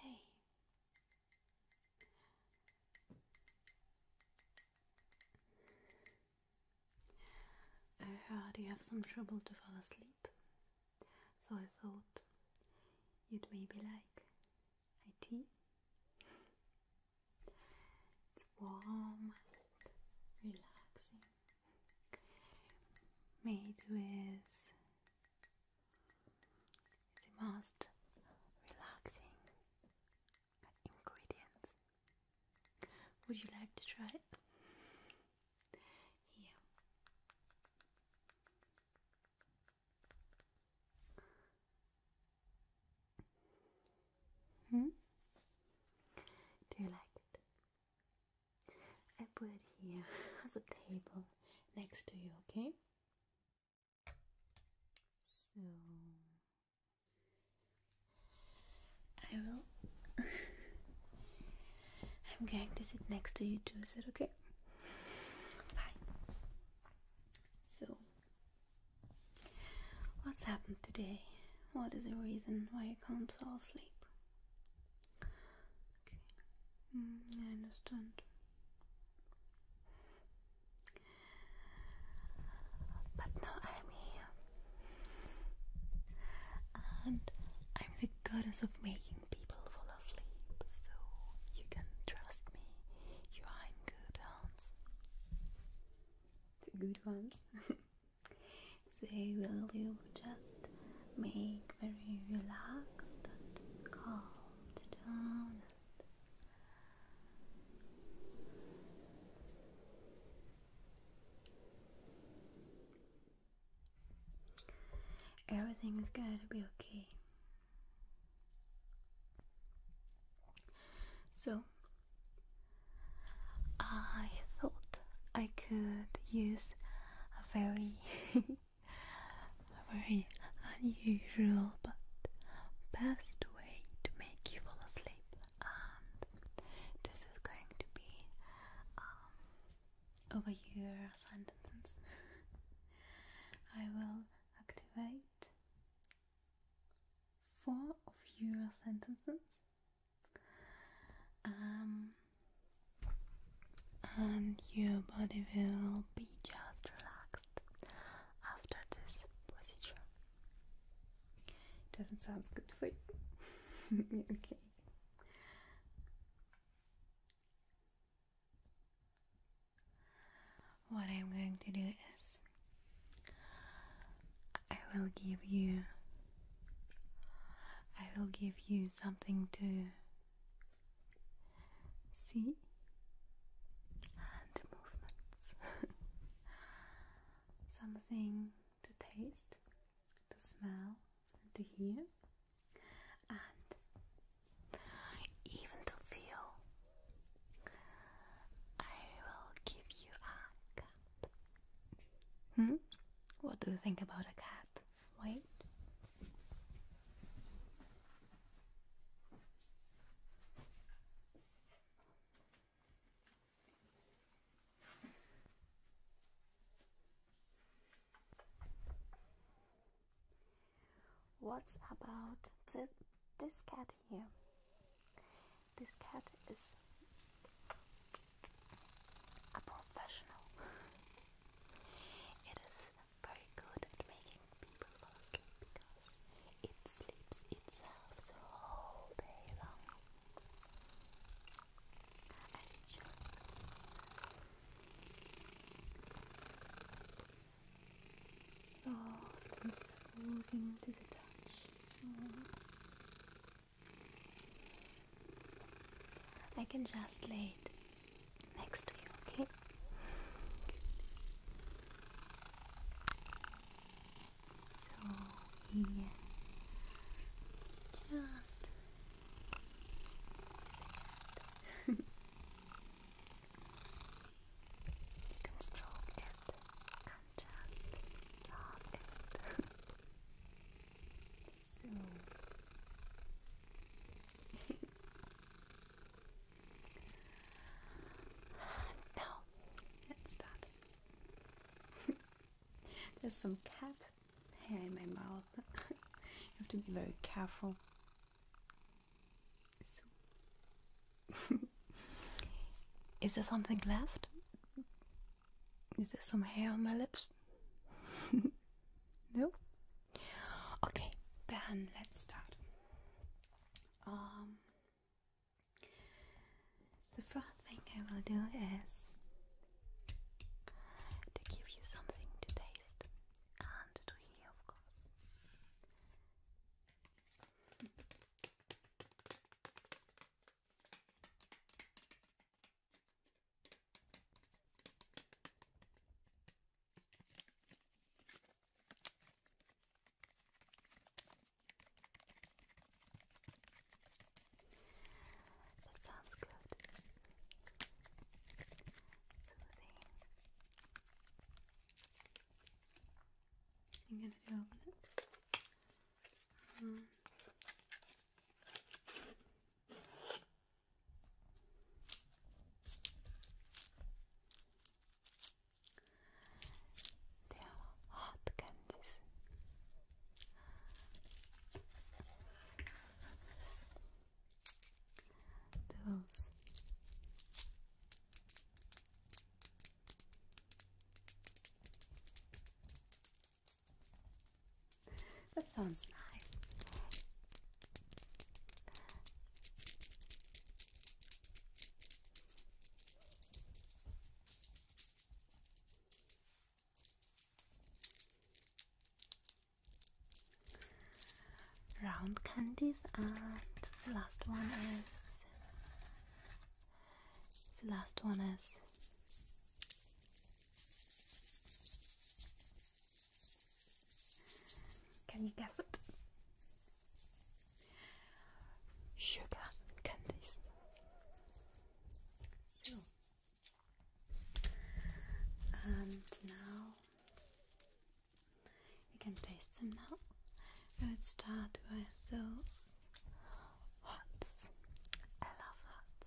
Hey. I heard you have some trouble to fall asleep, so I thought you'd maybe like IT. It's warm and relaxing, made with the most relaxing ingredients. Would you like to try it? Here. Hmm? Do you like it? I put it here on the table next to you, okay? So I will I'm going to sit next to you too, is it okay? Bye. So What's happened today? What is the reason why you can't fall asleep? Mm, I understand. But now I'm here, and I'm the goddess of making people fall asleep, so you can trust me. You are good ones. The good ones. they will you just make very relaxed and calmed down. Everything is going to be okay. So, I thought I could use a very, very unusual but best way to make you fall asleep, and this is going to be um, over your sentences. I will activate four of your sentences. Um, and your body will be just relaxed after this procedure. Doesn't sound good for you. okay. What I'm going to do is I will give you I will give you something to see and movements something to taste to smell and to hear and even to feel. I will give you a cat. Hmm? What do you think about a cat? Wait. What's about this cat here? This cat is a professional. It is very good at making people fall asleep because it sleeps itself the whole day long soft and soothing to the touch. I can just lay it next to you, okay? So, yeah, just You can stroke it and just love so now let's start. There's some cat hair in my mouth. you have to be very careful Is there something left? Is there some hair on my lips? no? Okay, then let's start. Um, the first thing I will do is to give you something to taste and to here, of course. That sounds good soothing. I'm gonna do open it. Uh-huh. they are hot candies those that sounds nice round candies, and the last one is the last one is can you guess it? Sugar candies. And now you can taste them now. Let's start with those hots. I love hots.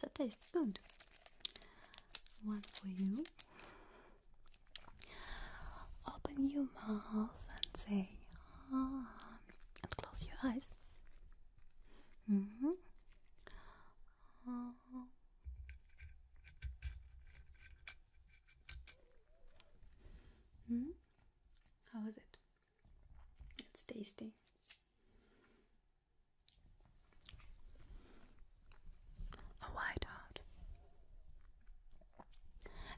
So it tastes good. One for you. Open your mouth and say ah, and close your eyes. Mm hmm. Hmm? How is it? It's tasty. A white heart.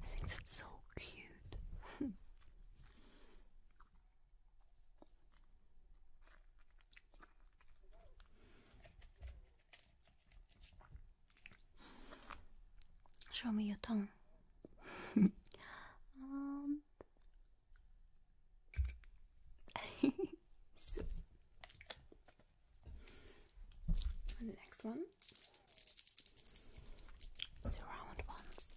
I think that's so cute. Show me your tongue. Um, the next one, the round ones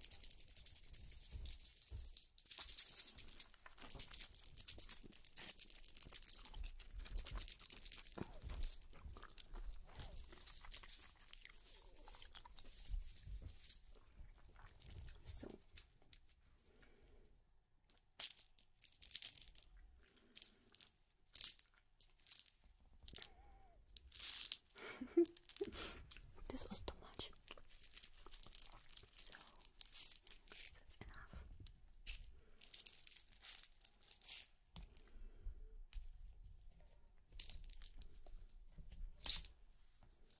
so this was too much so that's enough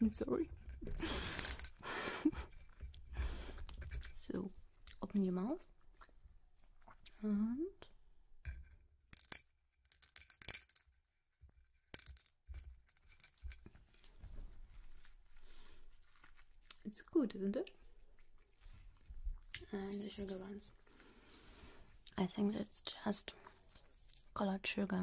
I'm sorry. so, open your mouth and it's good, isn't it? And the sugar ones. I think that's just colored sugar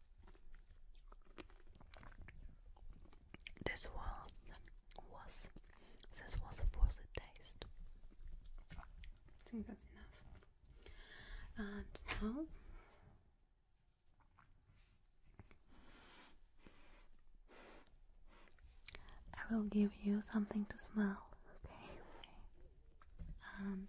This was was this was a worth taste. I think that's enough. And now I will give you something to smell, okay. And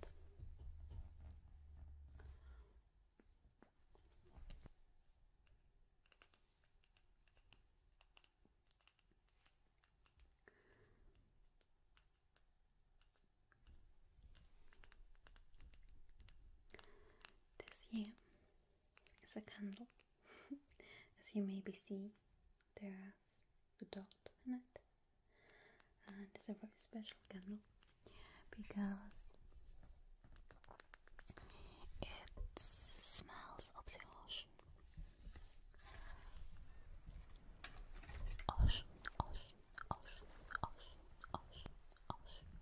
this here is a candle. As you maybe see, there's a dot in it and uh, it's a very special candle because it smells of the ocean. Ocean, ocean, ocean, ocean, ocean,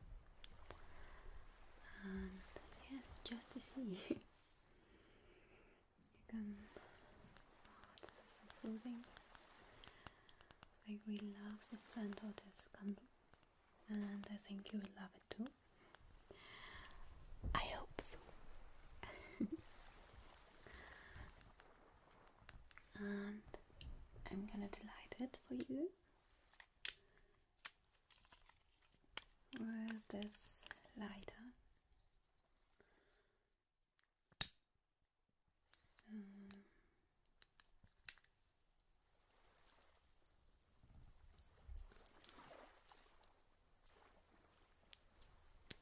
And yes, just to see you can. Oh, it's soothing. I really love the scent of this candle and I think you will love it too. I hope so. and I'm gonna delight it for you with this lighter. So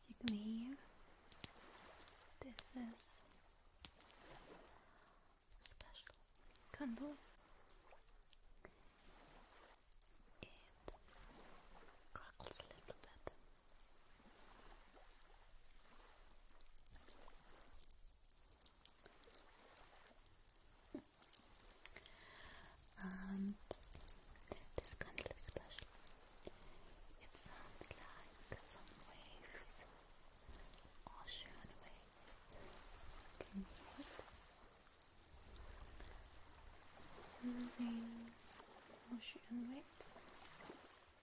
you can hear, this is special candle. It crackles a little bit and this kind of special. It sounds like some waves, ocean waves. Can you Soothing ocean waves.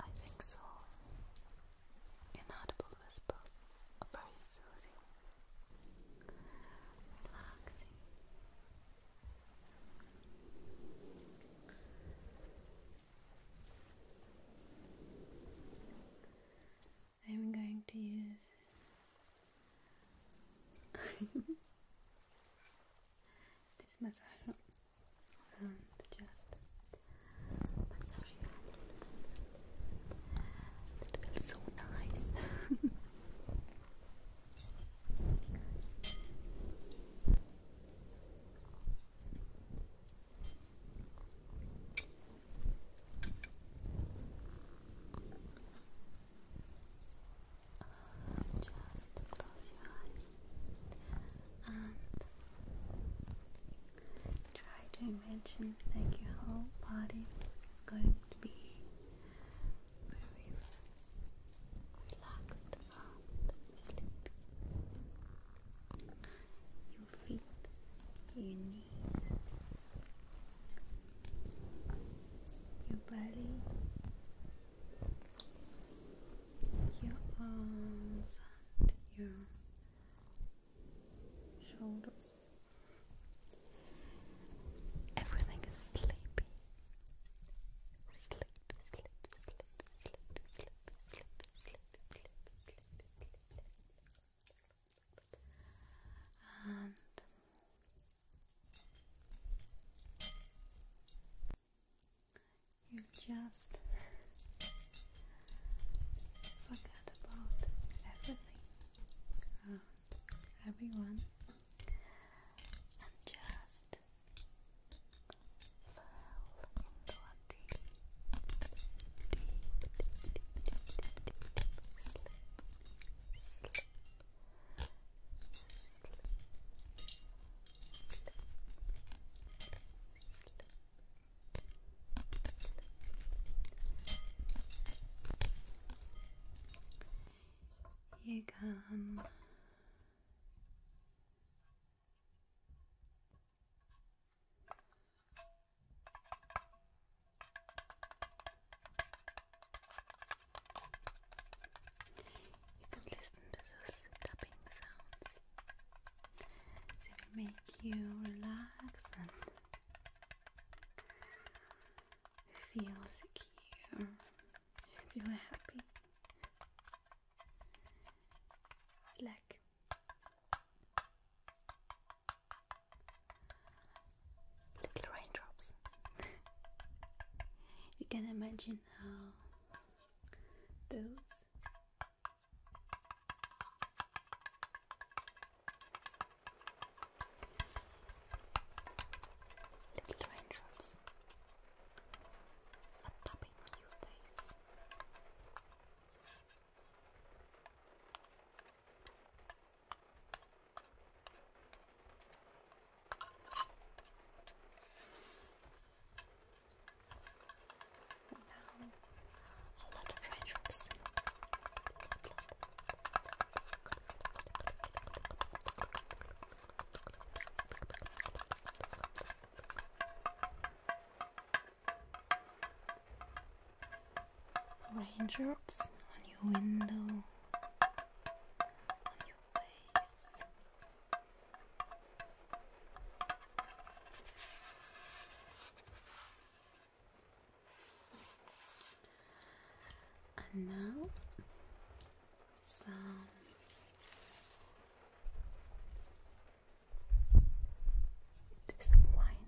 I think so. Inaudible whisper, very soothing, relaxing. I'm going to use this massage around the Massage It feels so nice just close your eyes and try to imagine like your whole body is going to be very relaxed and sleepy. Your feet, your knees, your belly, your arms, and your shoulders. Everything is sleepy. Sleep, sleep, sleep, sleep, sleep, sleep, sleep, sleep, sleep, sleep, sleep. And you just forget about everything and everyone and just fell into a deep, deep, deep, deep, deep sleep. You can you can listen to those tapping sounds. They make you relax and feel secure, feel happy. It's like little raindrops. you can imagine how those little raindrops are tapping on your face. Now, a lot of red drops raindrops on your window, on your face. And now some some wine.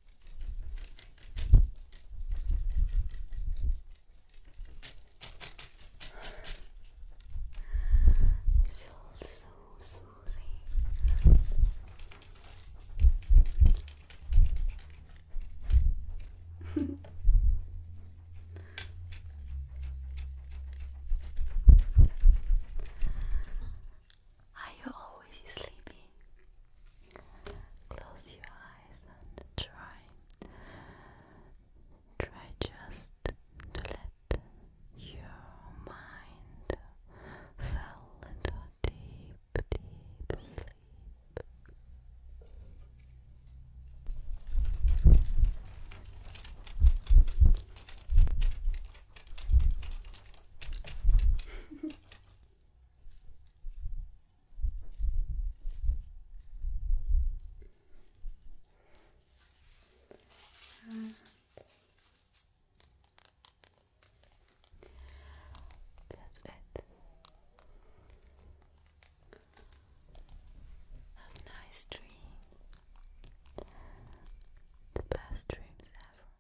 It feels so soothing. Are you always sleepy? Close your eyes and try. Try just to let your mind fall into a deep, deep sleep. And that's it. Have nice dreams. The best dreams ever.